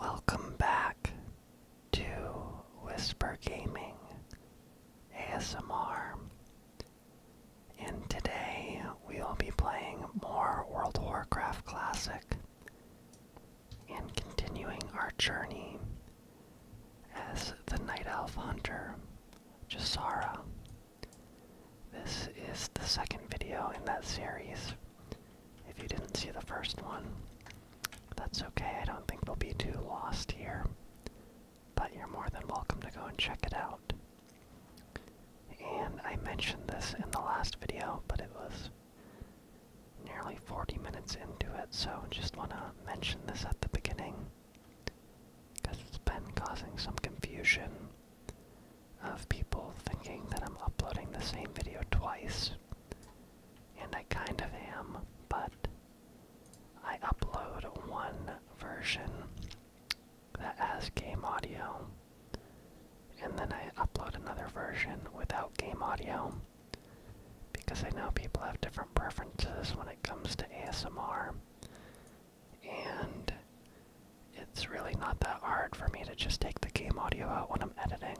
Welcome back to Whisper Gaming ASMR. And today we will be playing more World of Warcraft Classic and continuing our journey as the Night Elf Hunter, Jasara. This is the second video in that series, if you didn't see the first one, that's okay. I don't think we will be too lost here. But you're more than welcome to go and check it out. And I mentioned this in the last video, but it was nearly 40 minutes into it, so just want to mention this at the beginning because it's been causing some confusion of people thinking that I'm uploading the same video twice and I kind of am, but I upload one version that has game audio, and then I upload another version without game audio because I know people have different preferences when it comes to ASMR, and it's really not that hard for me to just take the game audio out when I'm editing.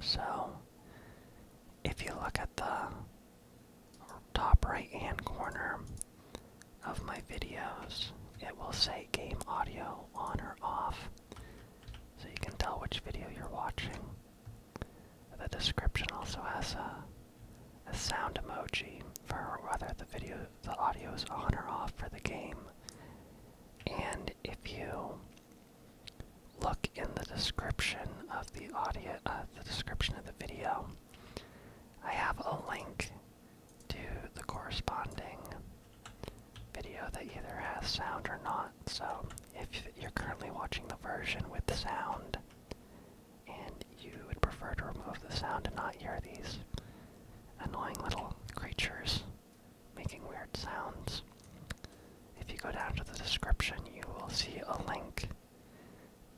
So, if you look at the top right hand corner of my videos, it will say game audio on or off, so you can tell which video you're watching. The description also has a, sound emoji for whether the video the audio is on or off for the game and if you look in the description of the audio, uh, the description of the video, I have a link to the corresponding video that either has sound or not. So if you're currently watching the version with sound and you would prefer to remove the sound and not hear these annoying little creatures making weird sounds. If you go down to the description, you will see a link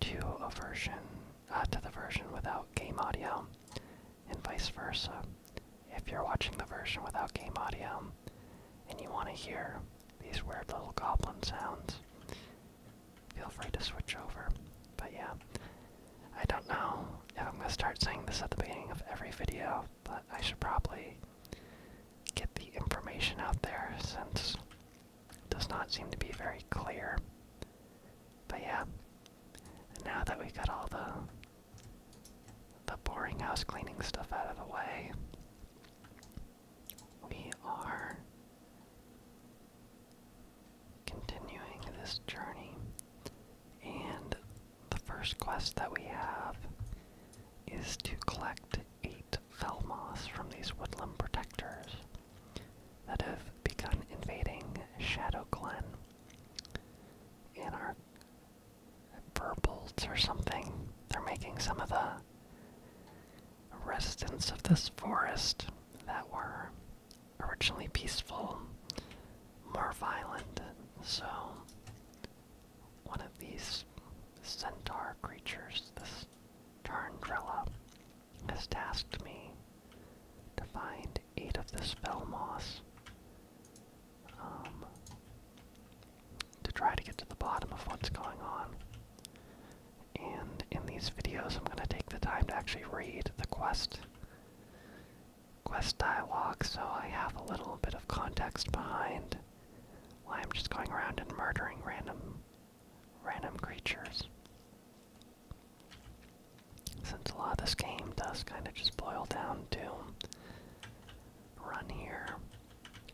to a version, uh, to the version without game audio, and vice versa. If you're watching the version without game audio and you want to hear these weird little goblin sounds, feel free to switch over. But yeah, I don't know if I'm going to start saying this at the beginning of every video but I should probably get the information out there since it does not seem to be very clear. But yeah, now that we have got all the the boring house cleaning stuff out of the way, we are continuing this journey. And the first quest that we have is to collect eight Felmoths from these woodland protectors that have begun invading Shadow Glen. And our Burbolts or something, they're making some of the residents of this forest that were originally peaceful more violent. So one of these centaur creatures, this Tarndrella, has tasked me to find eight of the spell moss um, to try to get to the bottom of what's going on. And in these videos, I'm going to take the time to actually read the quest quest dialogue, so I have a little bit of context behind why I'm just going around and murdering random random creatures. Since a lot of this game does kind of just boil down to run here,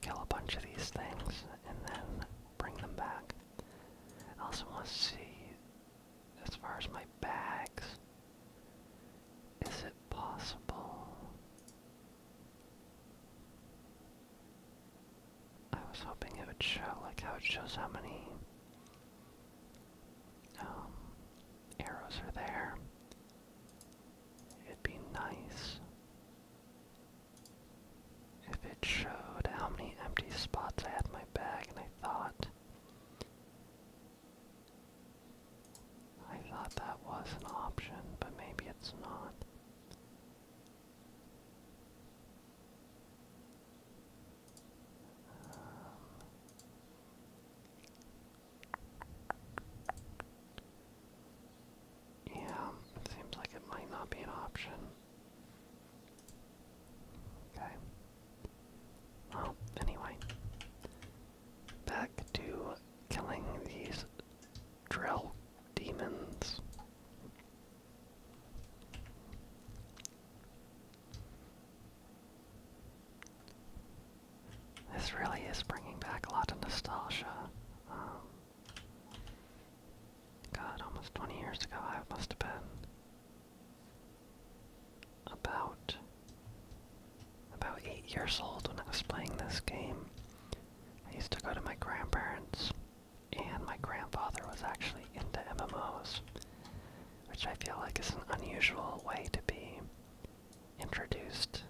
kill a bunch of these things, and then bring them back. I also want to see as far as my bags. Is it possible? I was hoping it would show, like how it shows how many um, arrows are there. It'd be nice if it showed how many empty spots I had in my bag, and I thought I thought that was an option, but maybe it's not. Um, yeah, it seems like it might not be an option. Okay. Well, anyway, back to killing these drill demons. This really is bringing back a lot of nostalgia. Um, God, almost 20 years ago I must have been about about eight years old when I was playing this game. I used to go to my grandparents, and my grandfather was actually into MMOs, which I feel like is an unusual way to be introduced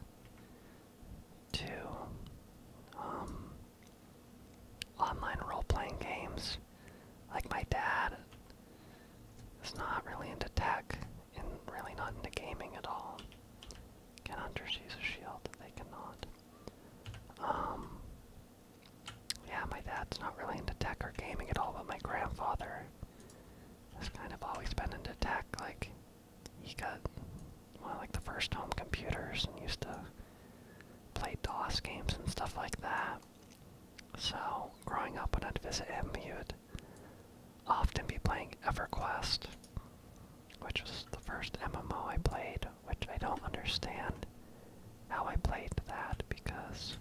to um, online role-playing games. Like my dad is not really into tech, and really not into gaming at all, can hunters use a shield? They cannot. Um, yeah, my dad's not really into tech or gaming at all, but my grandfather has kind of always been into tech. Like, he got well, like the first home computers and used to play DOS games and stuff like that. So, growing up when I'd visit him, he would often be playing EverQuest, which was the first MMO I played, which I don't understand how I played that because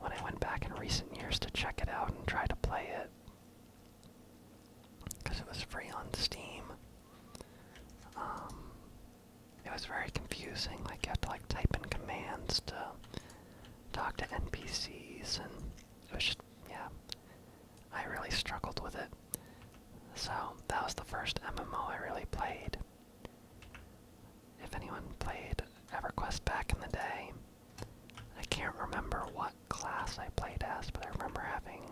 when I went back in recent years to check it out and try to play it, because it was free on Steam, um, it was very confusing. Like you had to like type in commands to talk to NPCs and it was yeah, I really struggled with it. So that was the first MMO I really played. If anyone played EverQuest back in the day, I can't remember what class I played as, but I remember having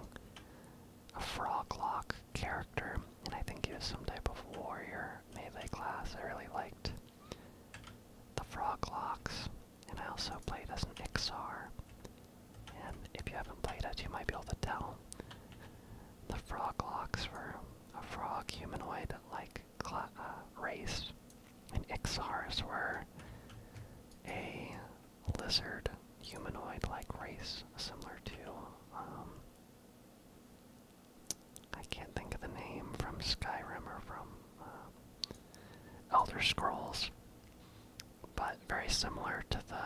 a froglock character, and I think he was some type of warrior melee class I really liked the Frog Locks, and I also played as an Ixar. And if you haven't played it, you might be able to tell. The Frog Locks were a frog humanoid like uh, race, and Ixars were a lizard humanoid like race, similar to. Um, I can't think of the name from Skyrim or from uh, Elder Scrolls, but very similar to the.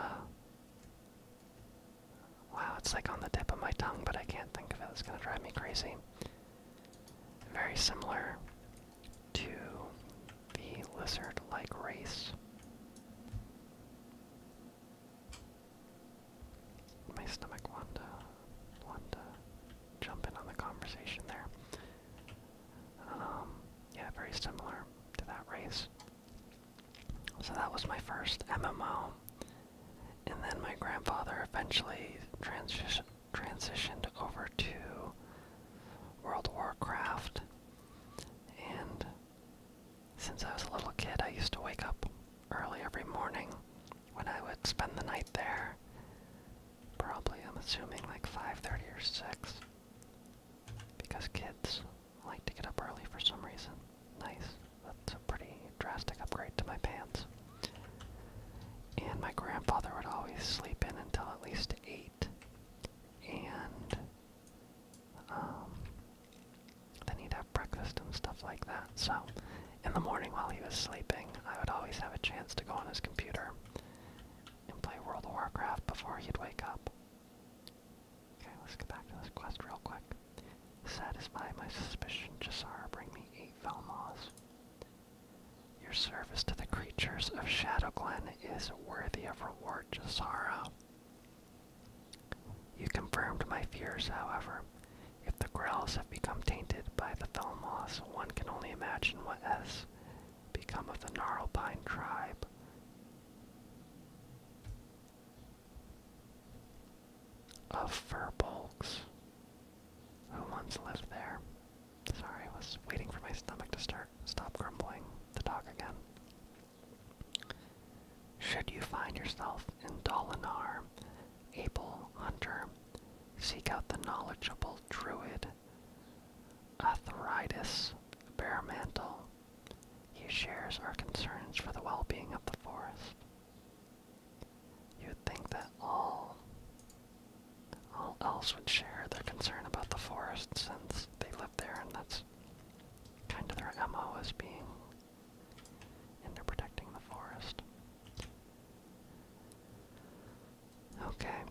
Wow, it's like on the tip of my tongue, but I can't think of it. It's gonna drive me crazy. Very similar to the lizard like race. My stomach won't wanted to jump in on the conversation there. Um, yeah, very similar to that race. So that was my first MMO. And then my grandfather eventually transi transitioned over to World Warcraft. And since I was a little kid, I used to wake up early every morning when I would spend the night there. Probably, I'm assuming, like 5.30 or 6. Because kids like to get up early for some reason. Nice. That's a pretty drastic upgrade to my pants. And my grandfather would always sleep in until at least 8. And um, then he'd have breakfast and stuff like that. So in the morning while he was sleeping, I would always have a chance to go on his computer and play World of Warcraft before he'd wake up. Okay, let's get back to this quest real quick. Satisfy my suspicion, Jasara, bring me eight Velmoths. Your service to the creatures of Shadow is worthy of reward, Jasara. You confirmed my fears, however. If the Grells become tainted by the fell moss, one can only imagine what has become of the gnarled pine tribe. Of fir who once lived there. Sorry, I was waiting for my stomach to start stop grumbling to talk again. Should you find yourself in Dolinar, Abel Hunter Seek out the knowledgeable druid, Athoritis Baremantle. He shares our concerns for the well-being of the forest. You'd think that all, all else would share their concern about the forest since they live there and that's kind of their MO as being in into protecting the forest. Okay.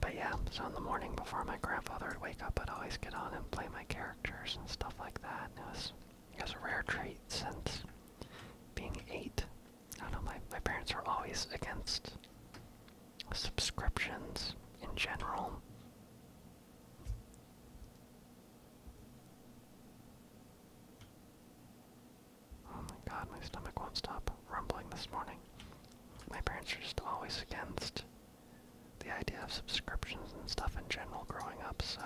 But yeah, so in the morning before my grandfather would wake up, I'd always get on and play my characters and stuff like that. And it was, it was a rare treat since being eight. I don't know, my, my parents were always against subscriptions in general. Oh my god, my stomach won't stop rumbling this morning. My parents are just always against the idea of subscriptions and stuff in general growing up, so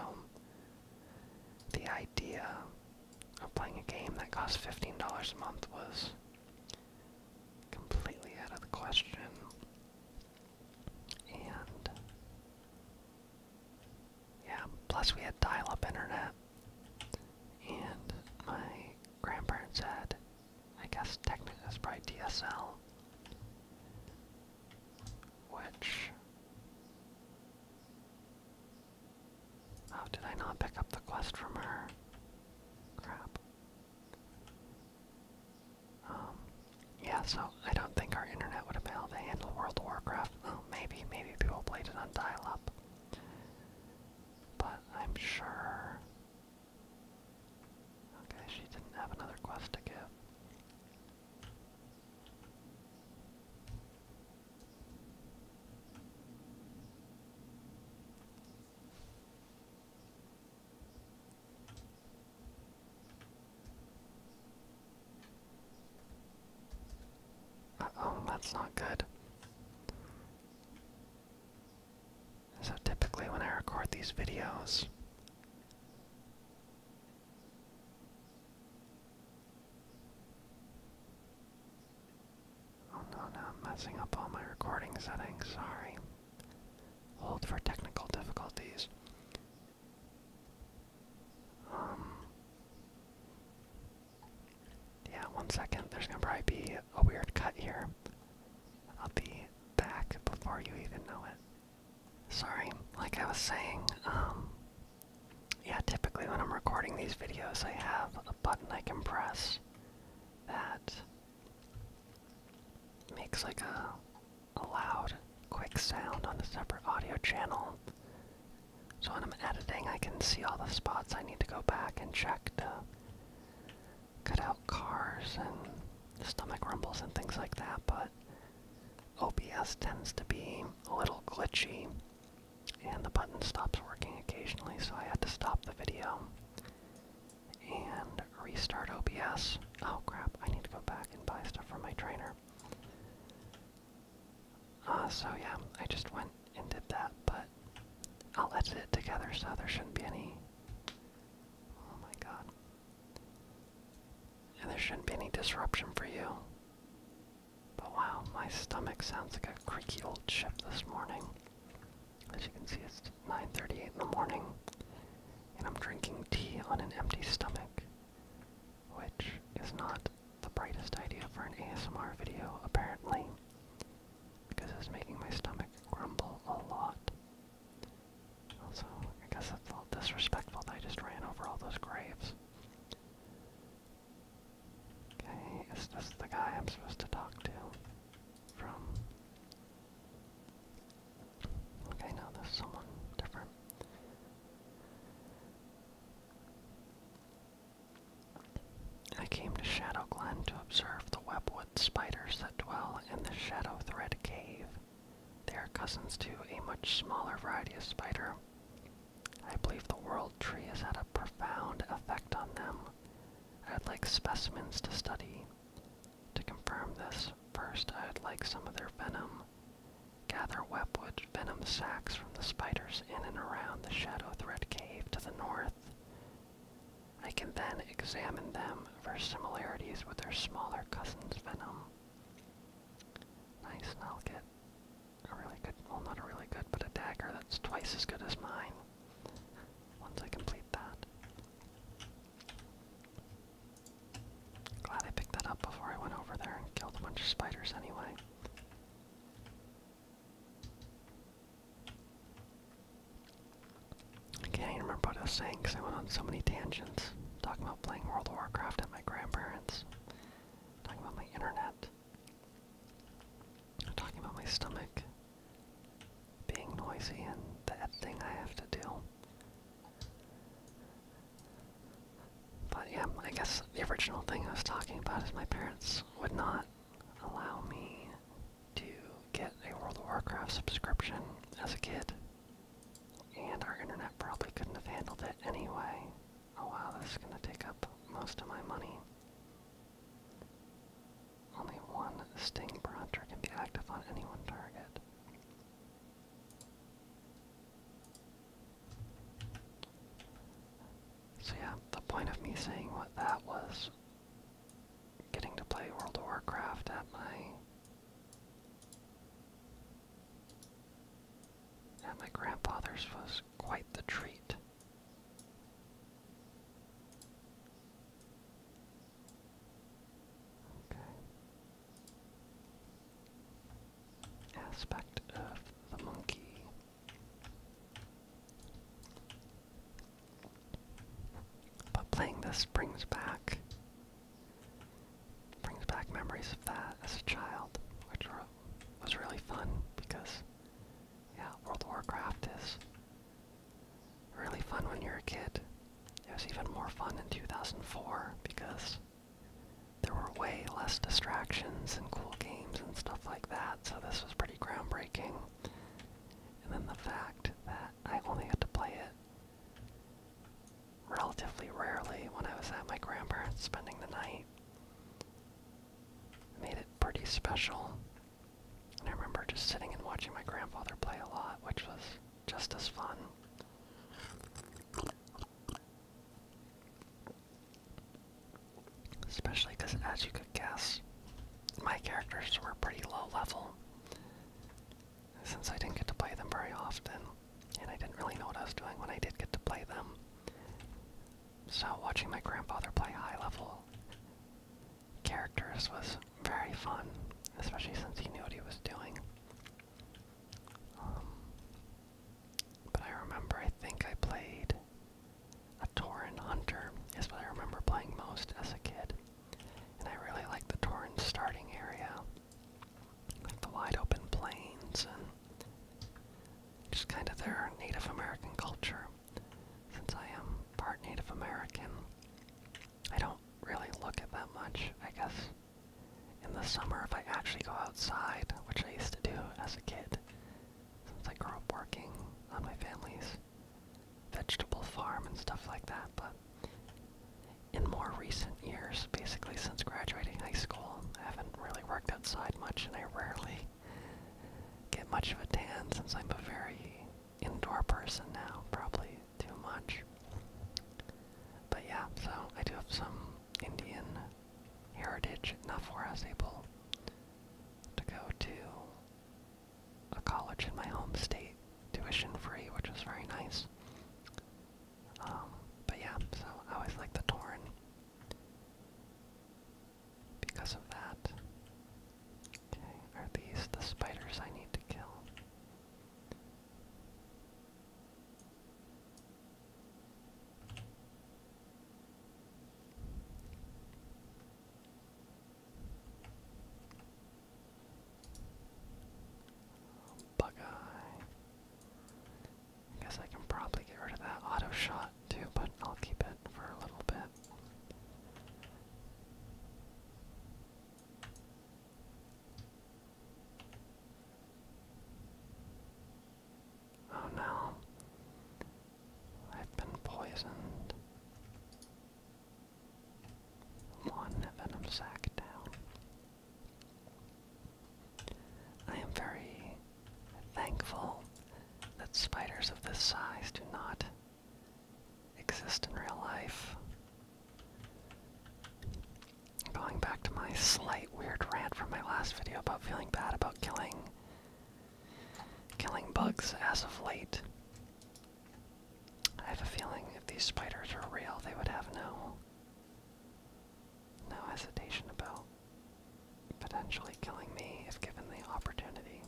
the idea of playing a game that costs $15 a month was completely out of the question. And yeah, plus we had dial-up internet. And my grandparents had, I guess technically that's probably DSL, which. Oh, did I not pick up the quest from her? Crap. Um, yeah, so I don't think our internet would have been able to handle World of Warcraft. Oh, maybe, maybe people played it on dial-up. But I'm sure. Okay, she didn't have another quest to give oh that's not good. So typically when I record these videos, oh I'm messing up all my recording settings, sorry. Hold for technical difficulties. Um, yeah, one second. There's gonna probably be a weird cut here. I'll be back before you even know it. Sorry, like I was saying, um, yeah, typically when I'm recording these videos, I have a button I can press that makes like a, a loud, quick sound on a separate audio channel. So when I'm editing, I can see all the spots I need to go back and check to cut out cars and stomach rumbles and things like that, but OBS tends to be a little glitchy and the button stops working occasionally, so I had to stop the video and restart OBS. Oh crap, I need to go back and buy stuff for my trainer. Uh, so yeah, I just went and did that, but I'll edit it together so there shouldn't be any. Oh my god. And there shouldn't be any disruption for you. But wow, my stomach sounds like a creaky old ship this morning. As you can see, it's 9:38 in the morning, and I'm drinking tea on an empty stomach, which is not the brightest idea for an ASMR video, apparently, because it's making my stomach grumble a lot. Also, I guess I felt disrespectful that I just ran over all those graves. Okay, is this the guy I'm supposed to talk to? From. Okay, now there's someone different. I came to Shadow Glen to observe the webwood spiders that dwell in the Shadow Thread Cave. They are cousins to a much smaller variety of spider. I believe the world tree has had a profound effect on them. I'd like specimens to study. To confirm this, first I'd like some of their venom. Gather webwood venom sacs from the spiders in and around the Shadow thread Cave to the north. I can then examine them for similarities with their smaller cousin's venom. Nice, and I'll a really good, well not a really good, but a dagger that's twice as good as mine once I complete that. Glad I picked that up before I went over there and killed a bunch of spiders anyway. I can't even remember what I was saying because I went on so many tangents. Talking about playing World of Warcraft at my grandparents. Talking about my internet. Talking about my stomach being noisy and that thing I have to do. But yeah, I guess the original thing I was talking about is my parents would not allow me to get a World of Warcraft subscription as a kid. And our internet probably couldn't have handled it anyway. Oh wow, this is gonna take up most of my money. Only one Sting per hunter can be active on any one target. So yeah, the point of me saying what that was getting to play World of Warcraft at my at my grandfather's was quite the treat. Okay. Aspect of the monkey. But playing this brings back brings back memories of that as a child, which was really fun because yeah, World of Warcraft is really fun when you're a kid. It was even more fun in 2004 because there were way less distractions and cool games and stuff like that, so this was pretty pretty groundbreaking. And then the fact that I only got to play it relatively rarely when I was at my grandparents spending the night made it pretty special. And I remember just sitting and watching my grandfather play a lot, which was just as fun. Especially because, as you could guess, my characters were pretty low level. Since I didn't get to play them very often, and I didn't really know what I was doing when I did get to play them. So, watching my grandfather play high level characters was very fun, especially since he knew what he was doing. Um, but I remember, I think I played a Tauren Hunter is what I remember playing most as a kid. And I really like the Tauren starting area. Like the wide open plains and just kind of their Native American culture. Since I am part Native American, I don't really look at that much, I guess. In the summer, if I actually go outside, which I used to do as a kid, since I grew up working on my family's vegetable farm and stuff like that, but in more recent years, basically since graduating high school, I haven't really worked outside much and I rarely get much of a tan since I'm a very indoor person now, probably too much. But yeah, so I do have some Indian heritage, not for us able to go to a college in my home state, tuition free, which was very nice. Um, but yeah, so I always like the Torn because of that. Okay, are these the spiders I need to kill? Bug eye. I guess I can probably get rid of that auto shot too, but I'll keep it for a little bit. Oh no. I've been poisoned. One venom sack down. I am very thankful that spiders of this size do not exist in real life. Going back to my slight weird rant from my last video about feeling bad about killing killing bugs as of late. I have a feeling if these spiders were real, they would have no no hesitation about potentially killing me if given the opportunity.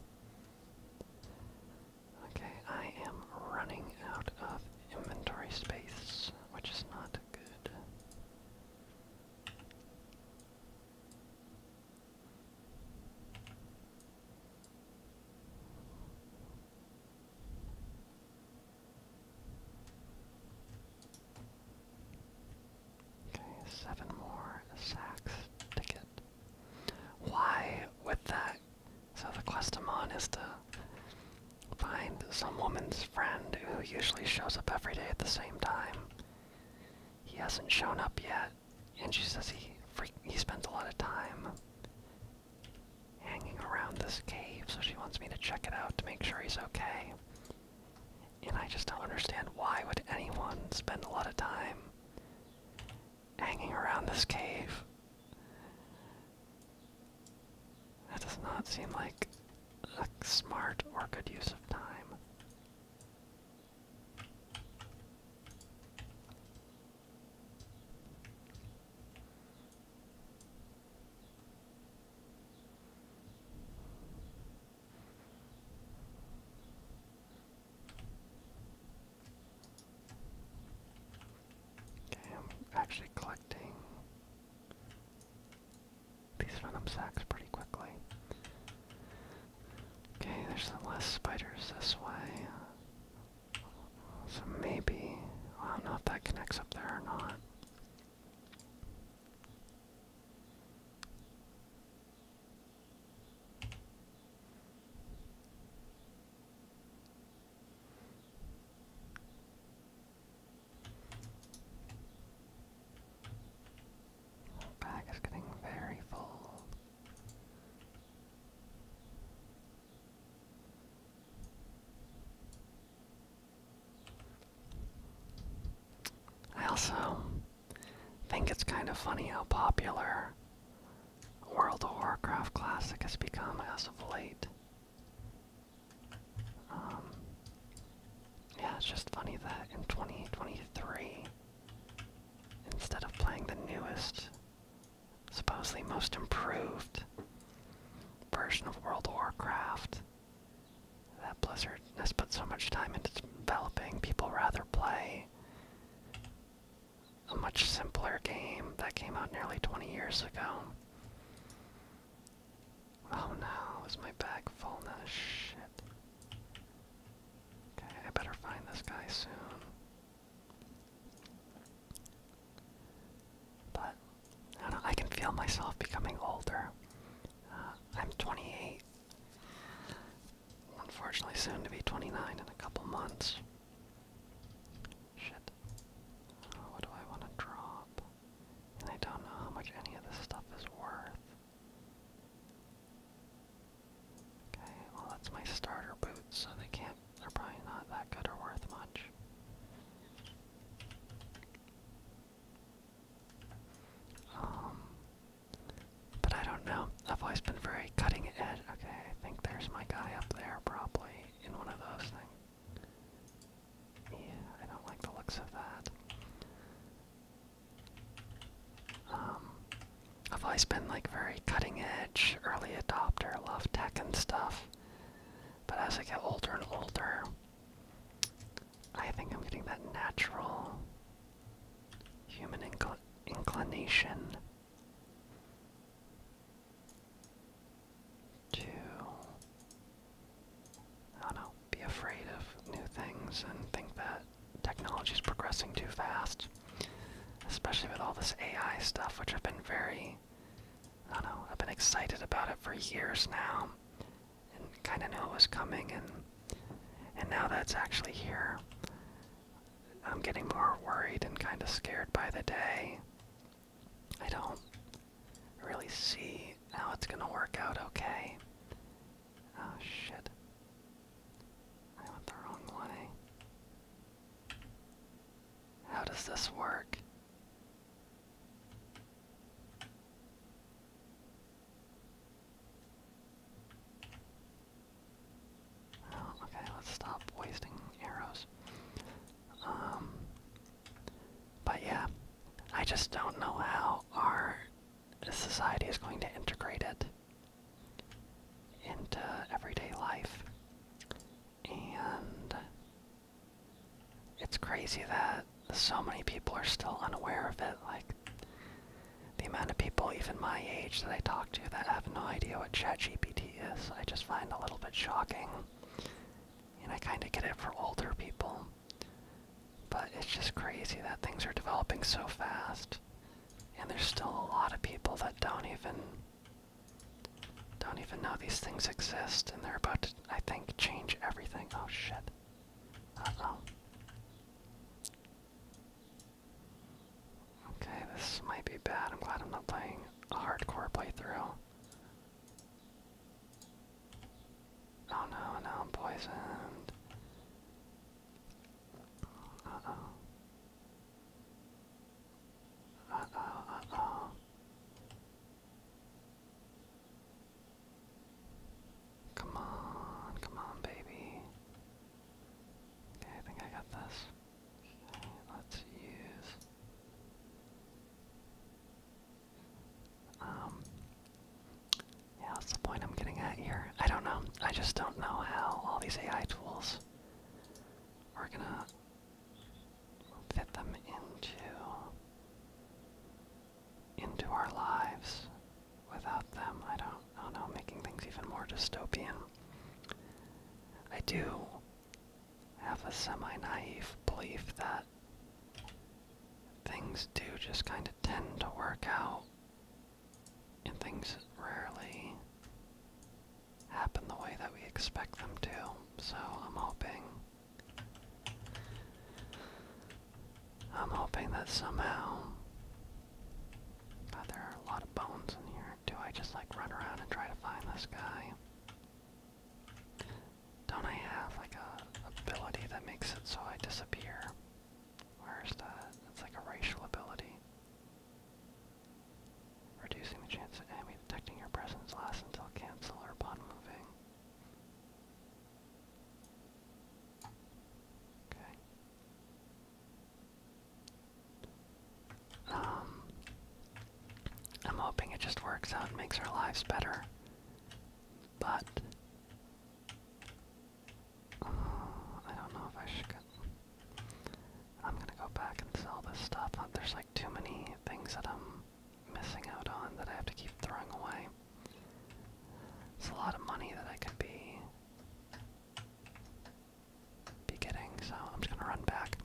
Okay, I am running out of inventory space, which is not good. Okay, seven more sacks to Why with that? So the quest is to find some woman's friend who usually shows up every day at the same time. He hasn't shown up yet, and she says he he spends a lot of time hanging around this cave, so she wants me to check it out to make sure he's okay. And I just don't understand why would anyone spend a lot of time hanging around this cave. That does not seem like a smart or good use of time. Okay, I'm actually collecting these venom sacks pretty quickly. Okay, there's some less spiders this way. So maybe, I don't know if that connects up there or not. Our bag is getting very full. I also think it's kind of funny how popular World of Warcraft Classic has become as of late. Um, yeah, it's just funny that in 2023, instead of playing the newest, supposedly most improved version of World of Warcraft, that Blizzard has put so much time into developing, people rather play a much simpler game that came out nearly 20 years ago. Oh no, is my bag full now? Shit. Okay, I better find this guy soon. But I can feel myself becoming older. Uh, I'm 28. Unfortunately, soon to be 29 in a couple months. Shit. what do I want to drop? And I don't know how much any of this stuff is worth. Okay, well that's my starter boots, so they can't, they're probably not that good or worth much. Um, but I don't know. I've always been very cutting edge. Okay, I think there's my guy up there, probably in one of those things. Yeah, I don't like the looks of that. Um, I've always been like very cutting edge, early adopter, love tech and stuff. But as I get older and older, I think I'm getting that natural human inclination to. I don't know know, be afraid of new things and think that technology is progressing too fast, especially with all this AI stuff, which I've been very, I don't know, I've been excited about it for years now, and kind of knew it was coming, and and now that's actually here. I'm getting more worried and kind of scared by the day. I don't really see how it's gonna work out okay. Oh shit. I went the wrong one, How does this work? Oh, okay, let's stop wasting arrows. Um, but yeah, I just don't know how our the society is going to integrate it into everyday life. And it's crazy that so many people are still unaware of it. Like, the amount of people, even my age, that I talk to that have no idea what ChatGPT is, I just find a little bit shocking. And I kind of get it for older people. But it's just crazy that things are developing so fast. And there's still a lot of people that don't even don't even know these things exist and they're about to I think change everything. Oh shit. Uh-oh. Okay, this might be bad. I'm glad I'm not playing a hardcore playthrough. Oh no, now I'm poisoned. Come on, come on, baby. Okay, I think I got this. Okay, let's use um, yeah, that's the point I'm getting at here. I don't know. I just don't know how all these AI tools are gonna fit them into into our lives without them. I don't, I don't know, making things even more dystopian. I do have a semi-naive belief that things do just kind of tend to work out and things rarely happen the way that we expect them to. So I'm hoping I'm hoping that somehow God, there are a lot of bones in here. Do I just like run around and try to find this guy? Don't I have like a ability that makes it so I disappear? Where's that? That's like a racial ability. Reducing the chance of enemy detecting your presence lasts until cancel or upon moving. Okay. Um, I'm hoping it just works out and makes our lives better. But uh, I don't know if I should get... I'm gonna go back and sell this stuff. Uh, there's like too many things that I'm missing out on that I have to keep throwing away. It's a lot of money that I could be be getting, so I'm just gonna run back.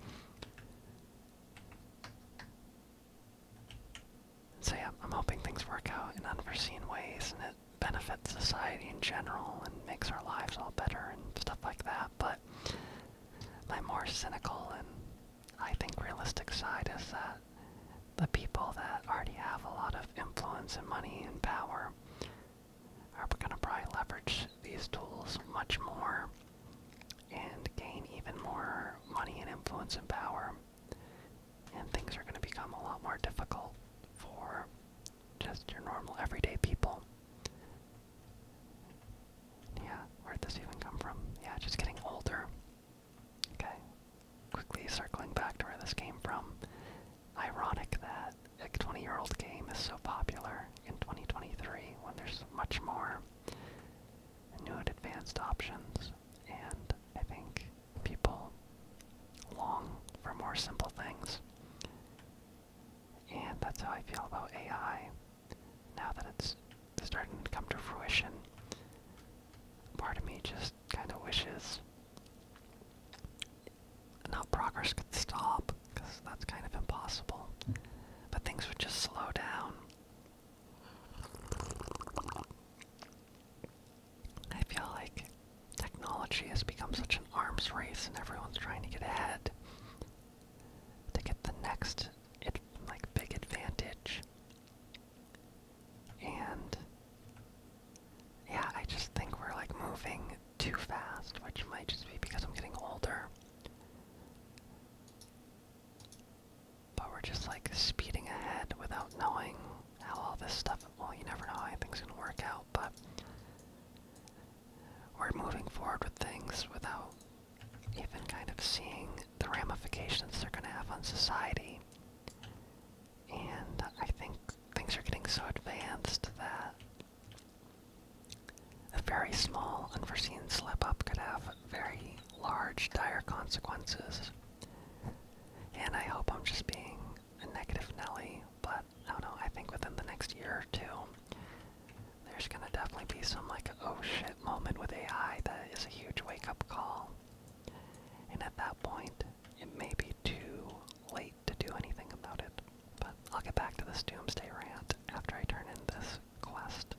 So yeah, I'm hoping things work out in unforeseen ways and it benefits society in general and makes our lives all better and stuff like that. But my more cynical and I think realistic side is that the people that already have a lot of influence and money and power are gonna probably leverage these tools much more and gain even more money and influence and power and things are going to become a lot more difficult for just your normal everyday people. Yeah, where'd this even come from? Yeah, just getting older. Okay, quickly circling back to where this came from. Ironic that a 20 year old game is so popular in 2023 when there's much more new advanced options and I think people long for more simple things. And that's how I feel about AI. Now that it's starting to come to fruition, part of me just kind of wishes not progress could stop, because that's kind of impossible, but things would just slow down. I feel like technology has become such an arms race and everyone's trying to get ahead to get the next like big advantage. And yeah, I just think we're like moving too fast, which might just be because I'm getting older. But we're just like speeding ahead without knowing how all this stuff, well, you never know how anything's going to work out, but we're moving forward with things without even kind of seeing the ramifications they're going to have on society. And I think things are getting so advanced that a very small, unforeseen slip up could have very large, dire consequences. And I hope I'm just being a negative Nelly, but I do I think within the next year or two, there's gonna definitely be some like oh shit moment with AI that is a huge wake up call. And at that point, it may be too late to do anything about it. But I'll get back to this doomsday rant after I turn in this quest.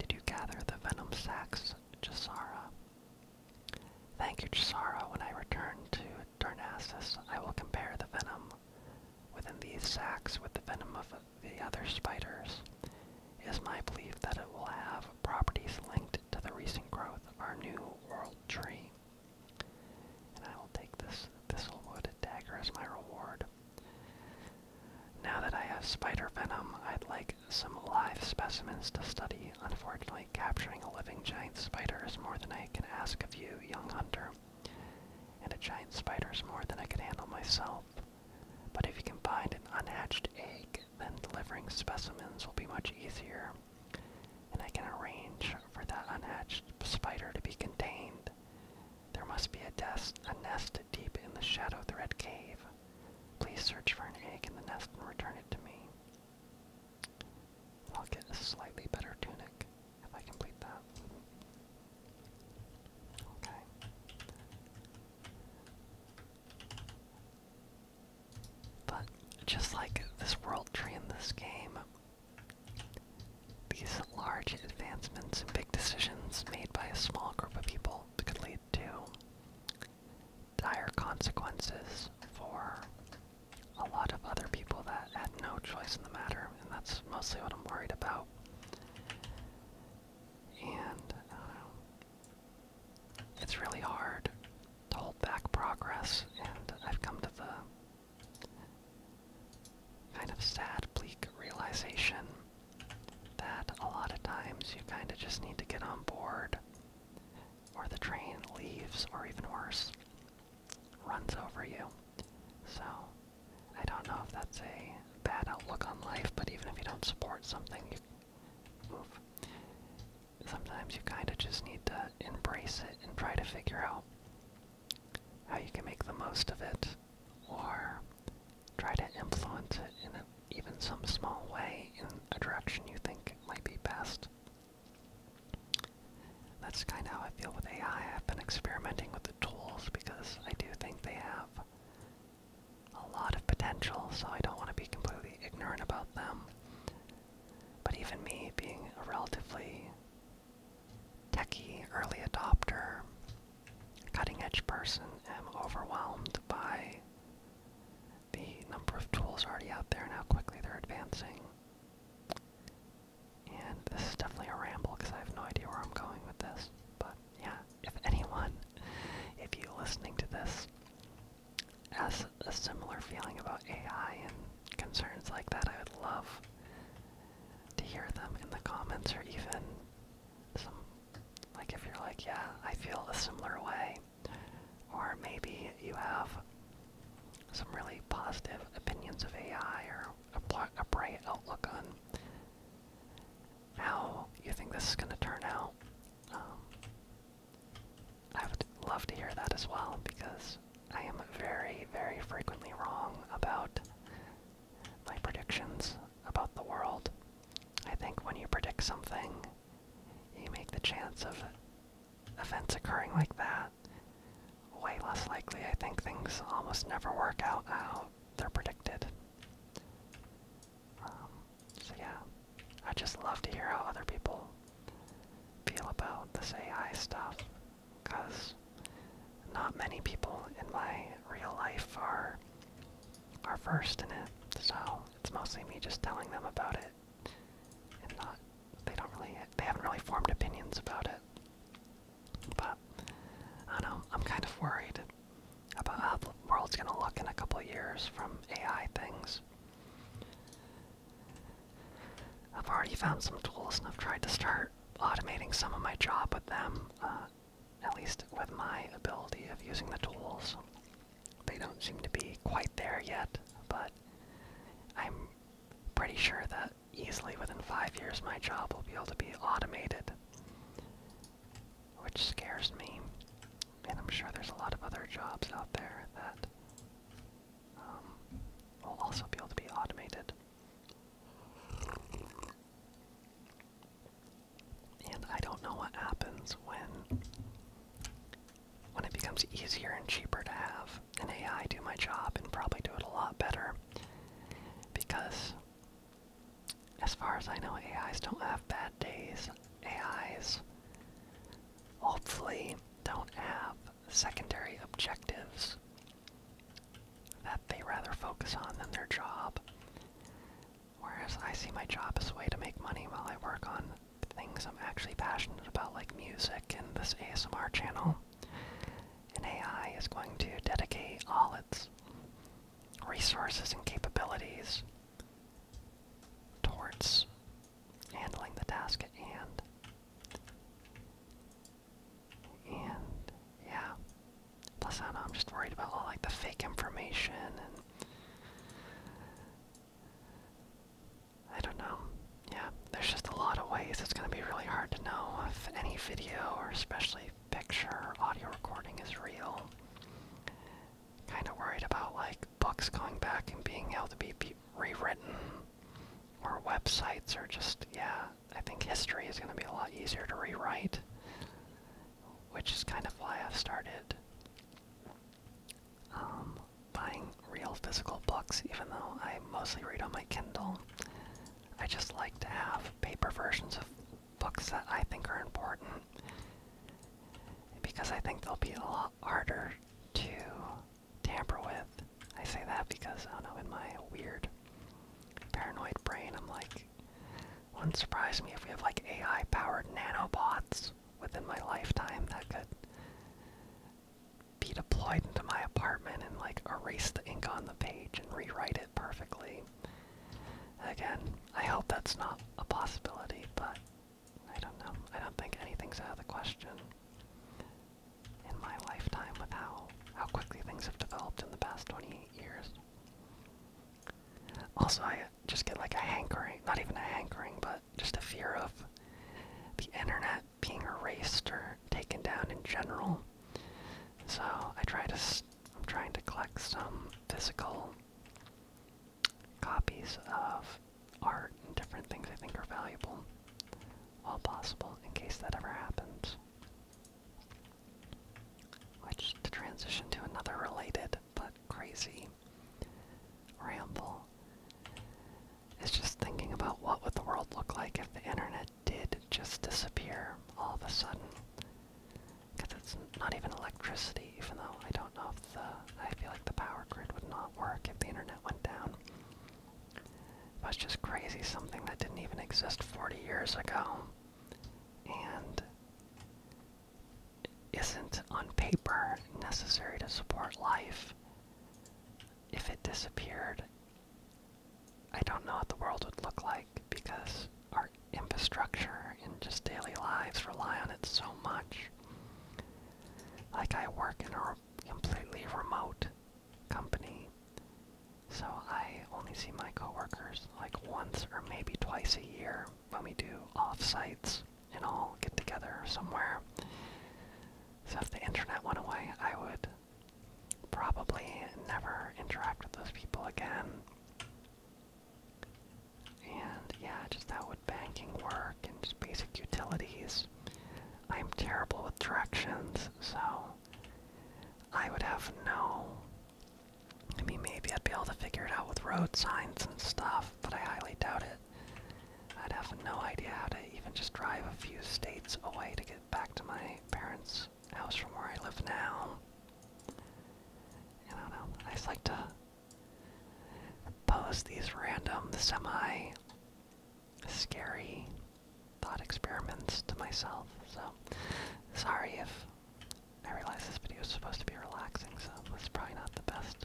Did you gather the venom sacs, Jasara? Thank you, Chisara. When I return to Darnassus, I will compare the venom within these sacks with the venom of the other spiders. It is my belief that it will have properties linked to the recent growth of our new world tree. And I will take this thistlewood dagger as my reward. Now that I have spider venom, I'd like some live specimens to study. Unfortunately, capturing a living giant spider is more than I can ask of you, young hunter. And a giant spider is more than I can handle myself. But if you can find an unhatched egg, then delivering specimens will be much easier. And I can arrange for that unhatched spider to be contained. There must be a, a nest deep in the Shadow Thread Cave. Please search for an egg in the nest and return it to me. I'll get a slightly better tunic if I complete that. Okay. But just like this world tree in this game, these large advancements and big decisions made by a small group of people could lead to dire consequences for a lot of other people that had no choice in the matter, and that's mostly what I'm worried about. And um, It's really hard to hold back progress, and I've come to the kind of sad, bleak realization that a lot of times you kind of just need to get on board or the train leaves, or even worse, runs over you. So, I don't know if that's a bad outlook on life, but even if you don't support something, you move. Sometimes you kind of just need to embrace it and try to figure out how you can make the most of it or try to influence it in a even some small way in a direction you think might be best. That's kind of how I feel with AI. I've been experimenting with the tools because I do think they have a lot of potential, so I don't want to be completely ignorant about them. But even me, being a relatively techy early adopter, cutting edge person, am overwhelmed by the number of tools already out there and how quickly they're advancing. And this is definitely a ramble because I have no idea where I'm going with this. But yeah, if anyone, if you listening to this, has a similar feeling about AI and concerns like that, I would love to hear them in the comments or even some, like if you're like, yeah, I feel a similar way, or maybe you have some really positive opinions of AI or a, bright outlook on how you think this is going to turn out. Um, I would love to hear that as well because I am very, very frequently wrong about my predictions about the world. I think when you predict something, you make the chance of events occurring like that way less likely. I think things almost never work out how they're predicted. Um, so yeah, I just love to hear how other people feel about this AI stuff, because not many people in my real life are are versed in it. So it's mostly me just telling them about it and not they don't really they haven't really formed opinions about it. But I know, I'm kind of worried about how the world's gonna look in a couple years from AI things. I've already found some tools and I've tried to start automating some of my job with them, uh, at least with my ability of using the tools. They don't seem to be quite there yet, but I'm pretty sure that easily within five years my job will be able to be automated, which scares me. And I'm sure there's a lot of other jobs out there that um, will also be able to be automated. And I don't know what happens when when it becomes easier and cheaper to have an AI do my job and probably do it a lot better. Because, as far as I know, AIs don't have bad days. AIs hopefully don't have secondary objectives that they rather focus on than their job. Whereas I see my job as a way to make money while I work on things I'm actually passionate about, like music and this ASMR channel. And AI is going to dedicate all its resources and capabilities towards handling the task at hand. And yeah. Plus I am just worried about like the fake information and I don't know. Yeah, there's just a lot of ways. It's going to be really hard to know if any video or especially picture audio recording is real. Kind of worried about like books going back and being able to be rewritten or websites are just, yeah, I think history is going to be a lot easier to rewrite, which is kind of why I've started um, buying real physical books, even though I mostly read on my Kindle. I just like to have paper versions of books that I think are important because I think they'll be a lot harder to tamper with. I say that because, I don't know, in my weird paranoid brain, I'm like, wouldn't surprise me if we have like AI powered nanobots within my lifetime that could be deployed into my apartment and like erase the ink on the page and rewrite it perfectly. Again, I hope that's not a possibility, but I don't know. I don't think anything's out of the question in my lifetime with how how quickly things have developed in the past 28 years. Also, I just get like a hankering, not even a hankering, but just a fear of the internet being erased or taken down in general. So I try to trying to collect some physical copies of art and different things I think are valuable, while possible, in case that ever happens. Which to transition to another related but crazy ramble is just thinking about what would the world look like if the internet did just disappear all of a sudden. Because it's not even electricity, even though I don't know if the. I feel like the power grid would not work if the internet went down. It was just crazy, something that didn't even exist 40 years ago. And isn't on paper necessary to support life. If it disappeared, I don't know what the world would look like because our infrastructure and just daily lives rely on it so much. Like, I work in a completely remote company, so I only see my coworkers like once or maybe twice a year when we do off sites and all get together somewhere. So if the internet went away, I would probably never interact with those people again. And yeah, just how would banking work and just basic utilities. I'm terrible with directions, so I would have no. I mean, maybe I'd be able to figure it out with road signs and stuff, but I highly doubt I'd have no idea how to even just drive a few states away to get back to my parents' house from where I live now. I don't know. I just like to pose these random, semi scary thought experiments to myself. So, sorry if I realize this video is supposed to be relaxing, so it's probably not the best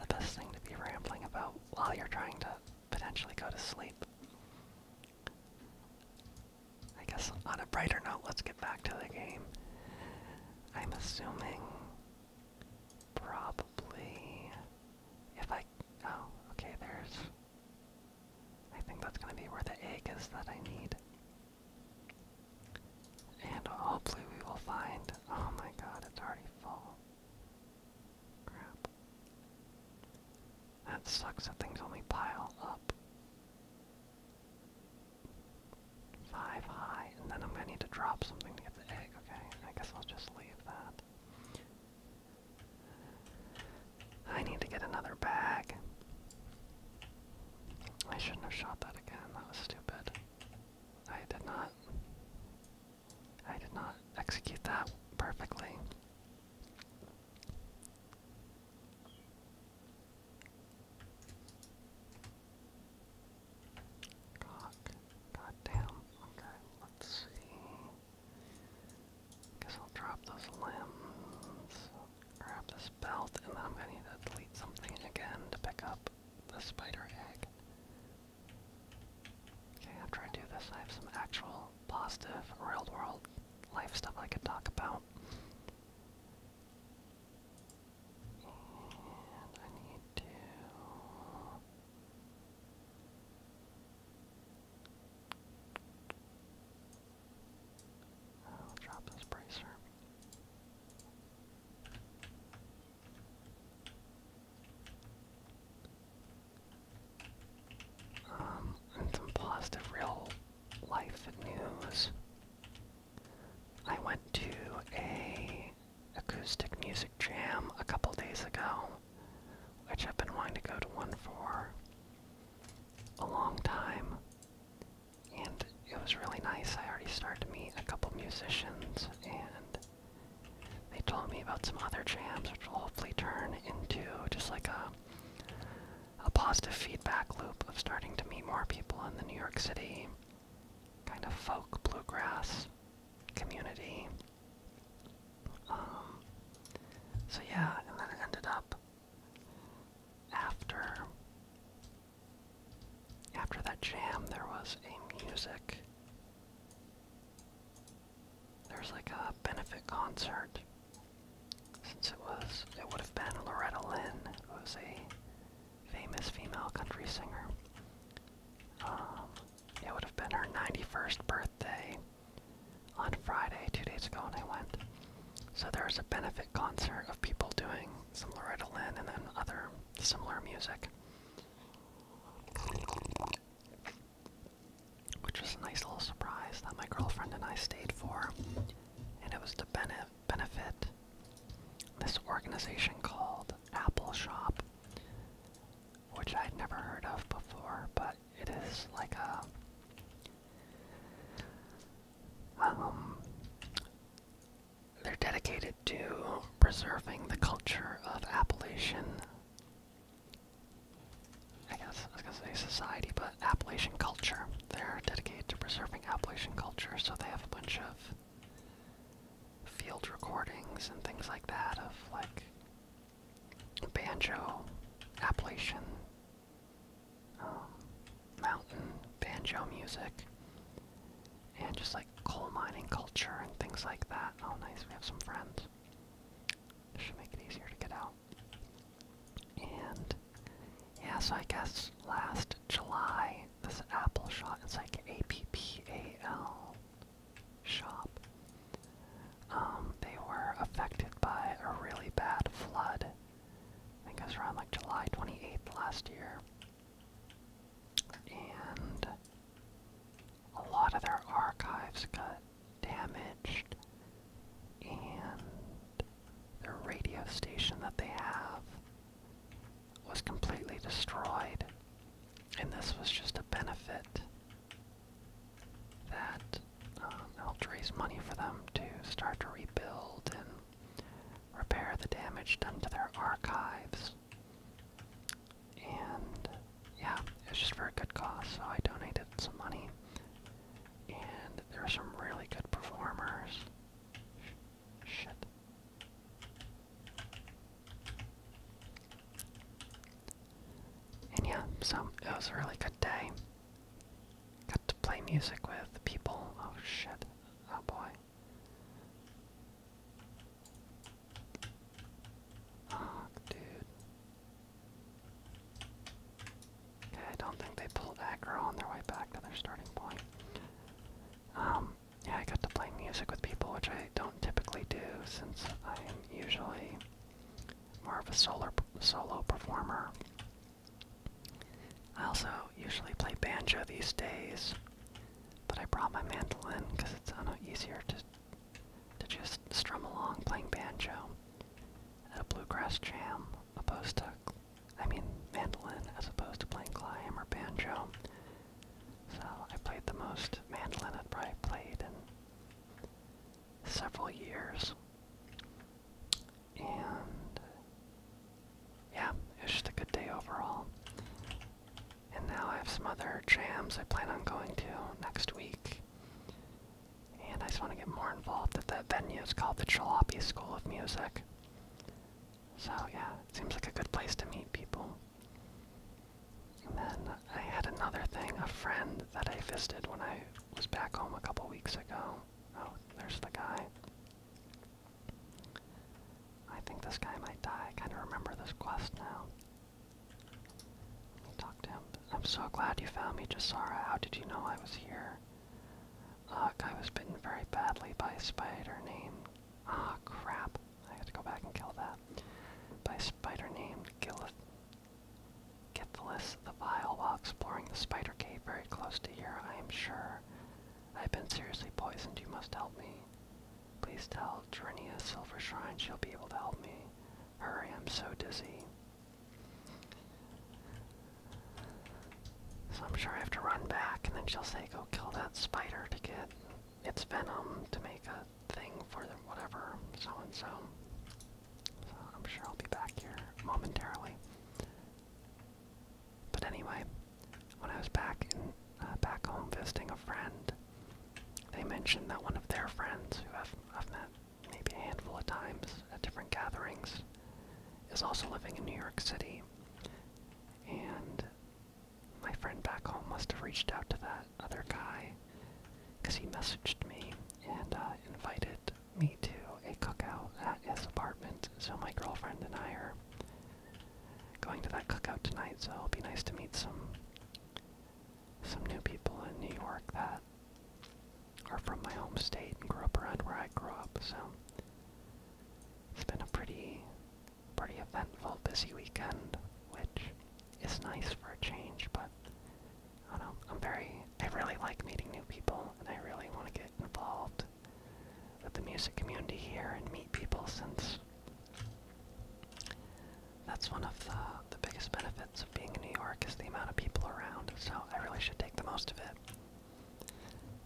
the best thing to be rambling about while you're trying to potentially go to sleep. I guess on a brighter note, let's get back to the game. I'm assuming probably if I oh okay there's I think that's gonna be where the egg is that I need. And hopefully we will find. Oh my god, it's already full. Crap. That sucks that things only pile up. Five high, and then I'm gonna need to drop something to get the egg, okay? I guess I'll just leave that. I need to get another bag. I shouldn't have shot that again, that was stupid. I did not. I did not execute that perfectly. God, God Okay, let's see. Guess I'll drop those limbs. Grab this belt, and I'm gonna need to delete something again to pick up the spider egg. Okay, after I do this, I have some actual positive real world life stuff I could talk about. I need to. drop this bracer. Um, some positive real life news. I went to a acoustic music jam a couple days ago, which I've been wanting to go to one for a long time and it was really nice. I already started to meet a couple musicians, and they told me about some other jams, which will hopefully turn into just like a a positive feedback loop of starting to meet more people in the New York City kind of folk bluegrass community. Um, so yeah, and then it ended up after after that jam, there was a music. There was like a benefit concert. Since it was, it would have been Loretta Lynn, who's a famous female country singer. Um, it would have been her 91st birthday on Friday, two days ago, and I went. So there was a benefit concert of people doing some Loretta Lynn and then other similar music. Which was a nice little surprise that my girlfriend and I stayed for. And it was to bene benefit this organization called Apple Shop, which I'd never heard of before, but it is like a. Um, they're dedicated to preserving the culture of Appalachian. I guess I was gonna say society, but Appalachian culture. They're dedicated to preserving Appalachian culture, so they have a bunch of field recordings and things like that of like banjo, Appalachian, um, mountain banjo music and just like coal mining culture and things like that. Oh, nice, we have some friends. This should make it easier to get out. And yeah, so I guess last July, this Apple shop, it's like A P P A L shop. Um, they were affected by a really bad flood. I think it was around like July 28th last year and a lot of their archives got damaged, and their radio station that they have was completely destroyed. And this was just a benefit that um, helped raise money for them to start to rebuild and repair the damage done to their archives. And yeah, it was just for a good cause, so I donated some money. And there were some really good performers. shit. And yeah, so it was a really good day. Got to play music with people. Oh shit. Oh boy dude. Okay, I don't think they pulled aggro on their way back to their starting point. Um, yeah, I got to play music with people, which I don't typically do since I am usually more of a solar, solo performer. I also usually play banjo these days, but I brought my mandolin because it's easier to to just strum along playing banjo at a bluegrass jam, opposed to I mean mandolin as opposed to playing climb or banjo. So I played the most mandolin I've probably played in several years. And yeah, it was just a good day overall. And now I have some other jams I plan on going to next week. And I just want to get more involved at that venue. It's called the Jalopy School of Music. So yeah, it seems like a good place to meet people. And then I had another thing, a friend that I visited when I was back home a couple weeks ago. Oh, there's the guy. I think this guy might die. I kind of remember this quest now. Let me talk to him. I'm so glad you found me, Jasara. How did you know I was here? Look, I was bitten very badly by a spider named... Ah, crap. I have to go back and kill that. By a spider named Gilith... Githless the Vile while exploring the spider cave very close to here, I am sure. I've been seriously poisoned. You must help me. Please tell Trinia Silver Shrine she'll be able to help me. Hurry, I'm so dizzy. So I'm sure I have to run back, and then she'll say, go kill that spider to get its venom to make a thing for the whatever, so and so. So I'm sure I'll be back here momentarily. But anyway, when I was back in uh, back home visiting a friend, they mentioned that one of their friends, who I've, I've met maybe a handful of times at different gatherings, is also living in New York City. And my friend back home must have reached out to that other guy because he messaged me and uh, invited me to a cookout at his apartment. So my girlfriend and I are going to that cookout tonight, so it'll be nice to meet some some new people in New York that are from my home state and grew up around where I grew up. So it's been a pretty pretty eventful, busy weekend, which is nice for a change, but I don't know. I'm very I really like meeting new people and I really want to get involved with the music community here and meet people since that's one of the, the biggest benefits of being in New York is the amount of people around, so I really should take the most of it.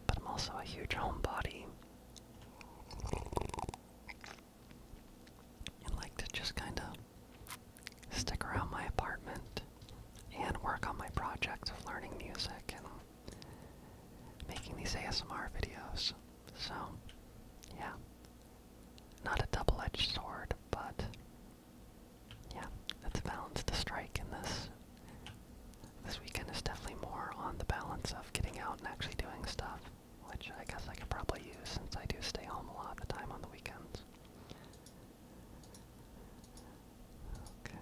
But I'm also a huge homebody and like to just kind of stick around my apartment and work on my project of learning music and making these ASMR videos. So, yeah. Not a double edged sword, but yeah, it's balanced to strike in this. This weekend is definitely more on the balance of getting out and actually doing stuff, which I guess I could probably use since I do stay home a lot of the time on the weekends. Okay.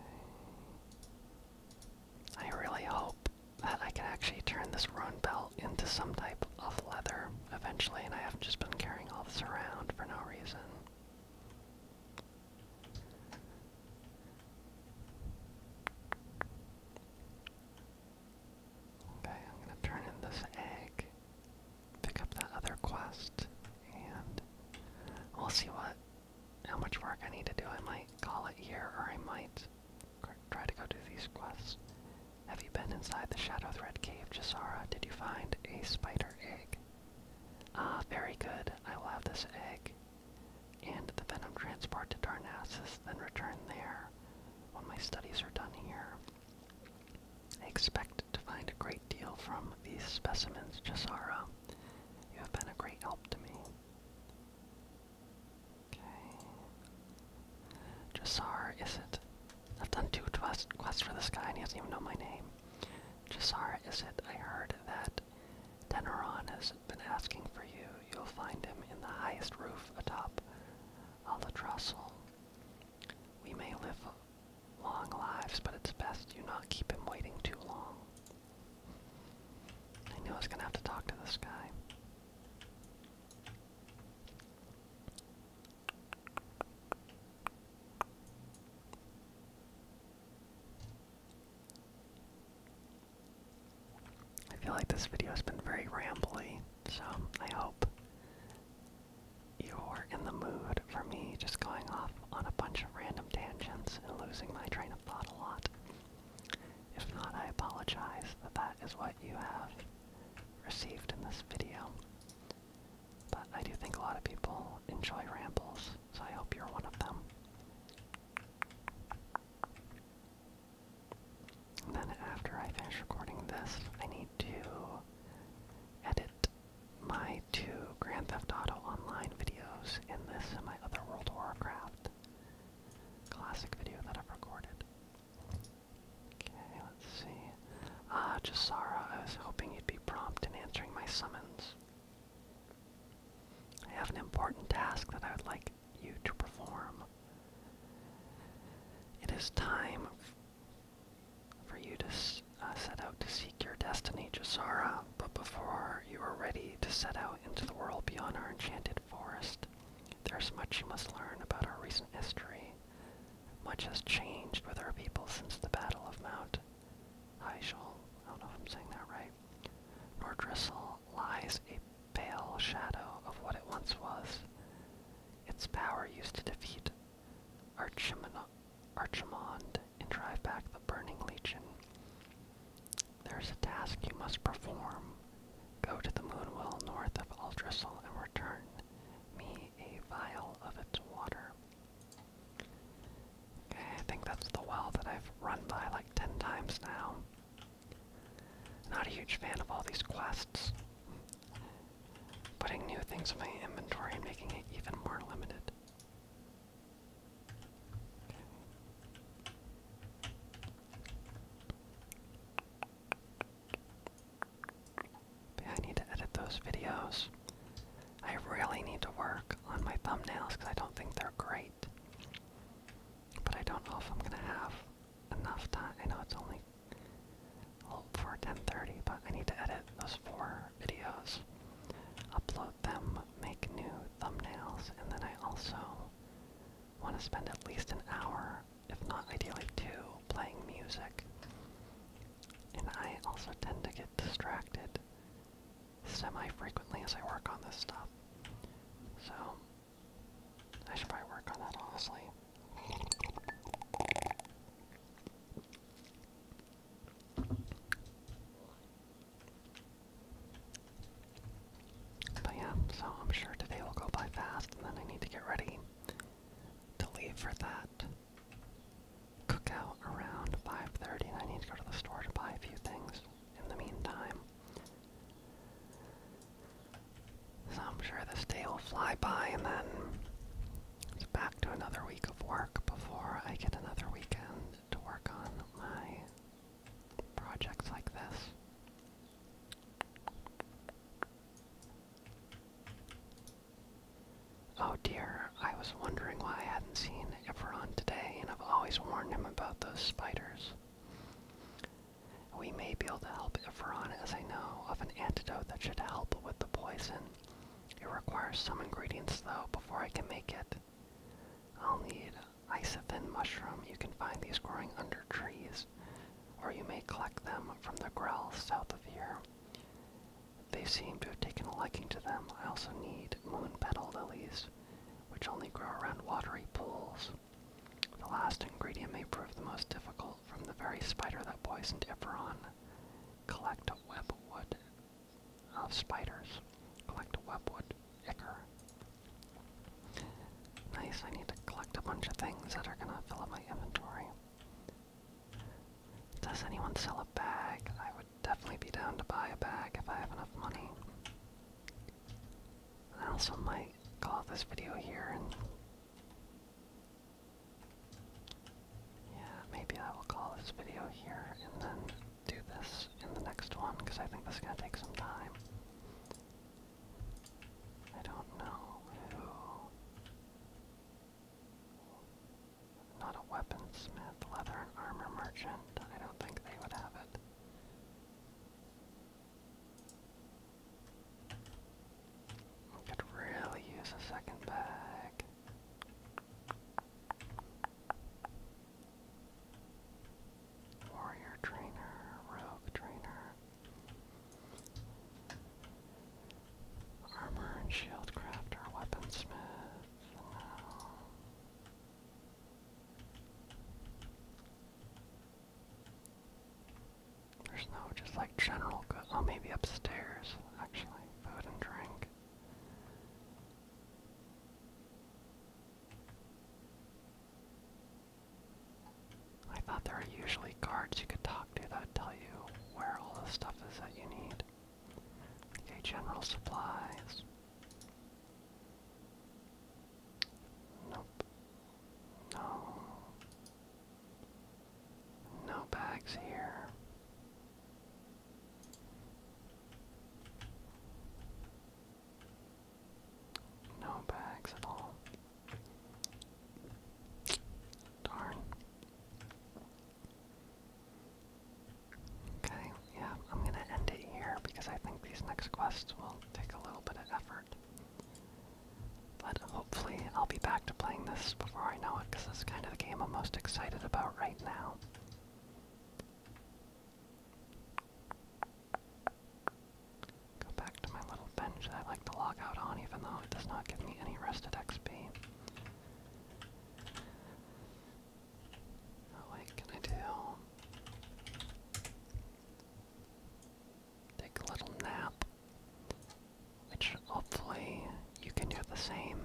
I really hope that I can actually turn this rune belt into some type of leather eventually, and I have just been carrying all this around for no reason. Okay, I'm gonna turn in this egg, pick up that other quest, and we'll see what how much work I need to do. I might call it here, or I might try to go do these quests. Have you been inside the Shadow Thread Cave, Jisara? Did you find a spider egg? Ah, very good. I will have this egg and the venom transport to Darnassus, then return there when my studies are done here. I expect to find a great deal from these specimens, Jisara. You have been a great help to me. Okay. Jassar, is it? I've done two quests for this guy and he doesn't even know my name. Jassar, is it? I heard that Deneron has been asking for you. You'll find him in the highest roof atop Albatrossel. We may live long lives, but it's best you not keep him waiting too long. I knew I was gonna have to talk to this guy. I feel like this video has been very rambly, so I hope you're in the mood for me just going off on a bunch of random tangents and losing my train of thought a lot. If not, I apologize that that is what you have received in this video. But I do think a lot of people enjoy rambles, so I hope you're one of them. then after I finish recording this, I need to edit my two Grand Theft Auto Online videos and this and my other World Warcraft classic video that I've recorded. Okay, let's see. Ah, uh, I was hoping you'd be prompt in answering my summons. I have an important task that I would like you to perform. It is time for you to uh, set out to seek your destiny, Josara. but before you are ready to set out into the world beyond our enchanted Forest, there's much you must learn about our recent history. Much has changed with our people since the Battle of Mount Hyjal, I don't know if I'm saying that right. Nordrissel lies a pale shadow of what it once was. Its power used to defeat Archimond and drive back the Burning Legion. There's a task you must perform. Go to the Moonwell north of Aldrissel and return me a vial of its water. Okay, I think that's the well that I've run by like ten times now. Not a huge fan of all these quests. Putting new things in my inventory and making it even more limited. I need to edit those videos. I really need to work on my thumbnails because I don't think they're great. But I don't know if I'm gonna have enough time. I know it's only for 10:30, but I need to edit those four videos, upload them, make new thumbnails, and then I also want to spend at least an hour, if not ideally two, playing music. And I also tend to get distracted semi-frequently as I work on this stuff. So, I should probably work on that, honestly. But yeah, so I'm sure today will go by fast, and then I need to get ready to leave for that cookout around 5:30, and I need to go to the store to buy a few things in the meantime. So I'm sure this day will fly by, and then it's back to another week of work before I get another weekend to work on my projects like this. Oh dear, I was wondering why I hadn't seen Everon today, and I've always warned him about those spiders. We may be able to help Everon, as I know, of an antidote that should help with the poison. It requires some ingredients, though, before I can make it. I'll need isothin mushroom. You can find these growing under trees, or you may collect them from the growl south of here. They seem to have taken a liking to them. I also need moon petal lilies, which only grow around watery pools. The last ingredient may prove the most difficult from the very spider that poisoned Eberron. Collect webwood of spiders. Collect web wood. Nice, I need to collect a bunch of things that are gonna fill up my inventory. Does anyone sell a bag? I would definitely be down to buy a bag if I have enough money. I also might call this video here Yeah, maybe I will call this video here and then do this in the next one because I think this is going to take some time. I don't know Not a weaponsmith, leather and armor merchant. I don't think they would have it. could really use a second bag. Warrior Trainer, Rogue Trainer, Armor and Shield Crafter, Weaponsmith, There's no just like general good. Oh, maybe upstairs, actually. Food and drink. I thought there are usually guards you could talk to that tell you where all the stuff is that you need. Okay, general supplies. Nope. No. No bags here. No bags at all. Darn. Okay, yeah, I'm gonna end it here because I think these next quests will take a little bit of effort. But hopefully I'll be back to playing this before I know it because this is kind of the game I'm most excited about right now. Go back to my little bench I like to log out on, even though it does not give me any rested XP. Oh can I do? Take a little nap, which hopefully you can do the same.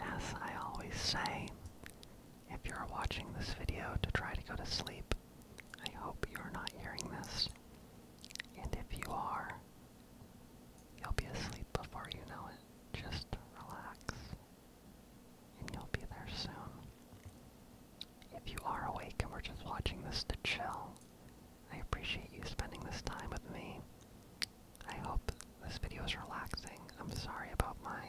As I always say, if you're watching this video to try to go to sleep, I hope you're not hearing this. And if you are, you'll be asleep before you know it. Just relax, and you'll be there soon. If you are awake and we're just watching this to chill, I appreciate you spending this time with me. I hope this video is relaxing. I'm sorry about my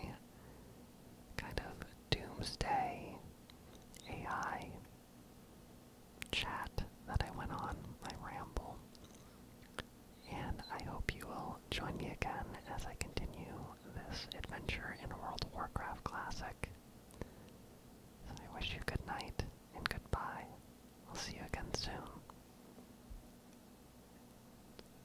kind of doomsday AI chat that I went on, my ramble. And I hope you will join me again as I continue this adventure in World of Warcraft Classic. So I wish you good night and goodbye. I'll see you again soon.